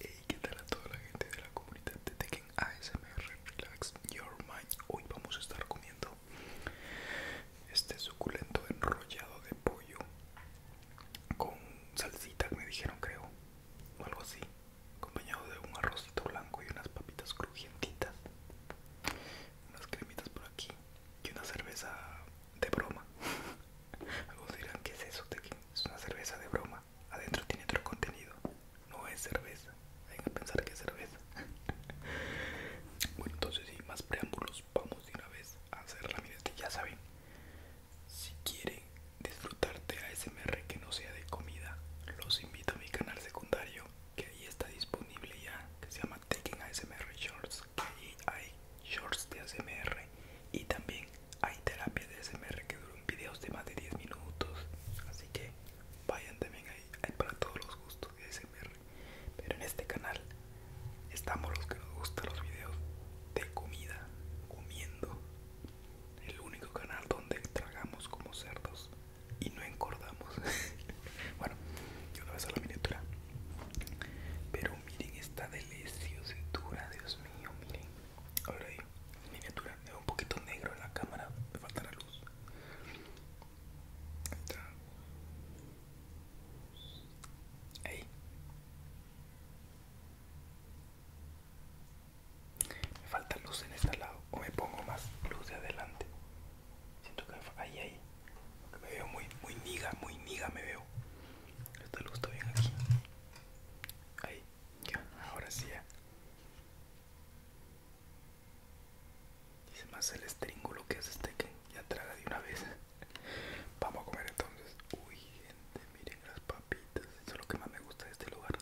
Hey, ¿qué tal a toda la gente de la comunidad de Tekken ASMR Relax Your Mind? Hoy vamos a estar comiendo este suculento enrollado de pollo con salsita, me dijeron creo, o algo así acompañado de un arrocito blanco y unas papitas crujientitas, unas cremitas por aquí y una cerveza de broma. Algunos dirán, ¿qué es eso? Es una cerveza de broma. Adentro tiene otro contenido. No es cerveza. Hay a pensar que es cerveza. bueno, entonces sin más preámbulos, vamos de una vez a hacer la Ya saben, si quieren disfrutarte a momento que no sea de comida, los invito a mi canal secundario que ahí está disponible ya, que se llama Taking ASMR Shorts, que ahí hay shorts de ASMR y también hay terapia de ASMR que duran videos de más de 10 minutos, así que vayan también ahí, hay para todos los gustos de ASMR, pero en este canal estamos los que nos gustan los videos de comida, comiendo, el único canal donde tragamos como cerdos y no encordamos. bueno, yo no voy a la miniatura. Pero miren esta Cintura, Dios mío, miren. Ahora miniatura. Es un poquito negro en la cámara, me falta la luz. Ahí. Me falta luz en este lado o me pongo más luz de adelante. Siento que ahí, ahí. me veo muy, muy niga, muy niga me veo. Esta luz está bien aquí. Ahí, ya, ahora sí ya. Dice más el estringulo que es este que ya traga de una vez. Vamos a comer entonces. Uy, gente, miren las papitas. Eso es lo que más me gusta de este lugar.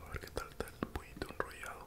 A ver qué tal está el pollito enrollado.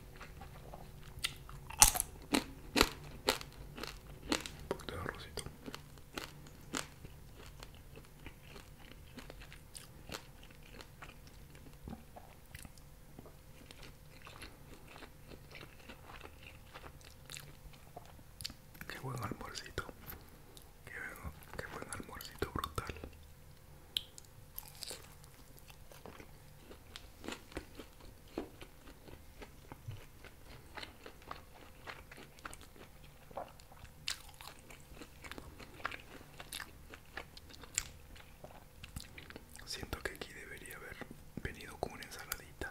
Un poquito de Qué buen almuercito. Qué, buen almuercito brutal. Siento que aquí debería haber venido con una ensaladita.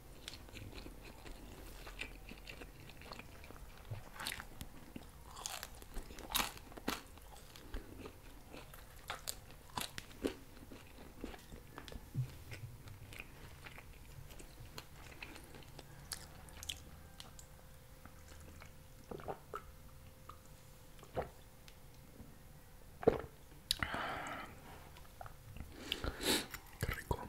Qué rico.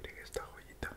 Pero esta joyita.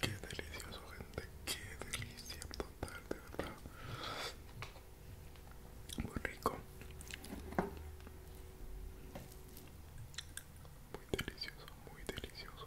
Qué delicioso, gente. Qué delicia total, de verdad. Muy rico muy delicioso, muy delicioso.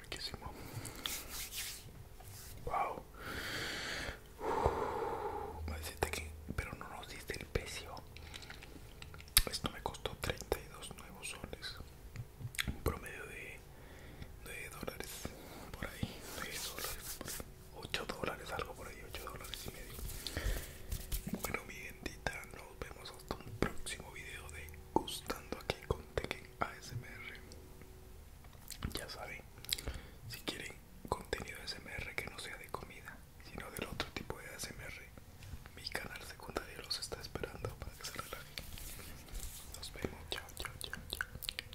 Riquísimo. Wow. me que, pero no nos diste el precio. Esto me costó 32 nuevos soles. Un promedio de de, dólares por ahí, 8 dólares, algo por ahí, 8 dólares y medio. Bueno, mi gentita, nos vemos hasta un próximo video de Gustando aquí con Tekken ASMR. Ya saben, si quieren contenido ASMR que no sea de comida, sino del otro tipo de ASMR, mi canal secundario los está esperando para que se relajen. Nos vemos, chao, chao, chao.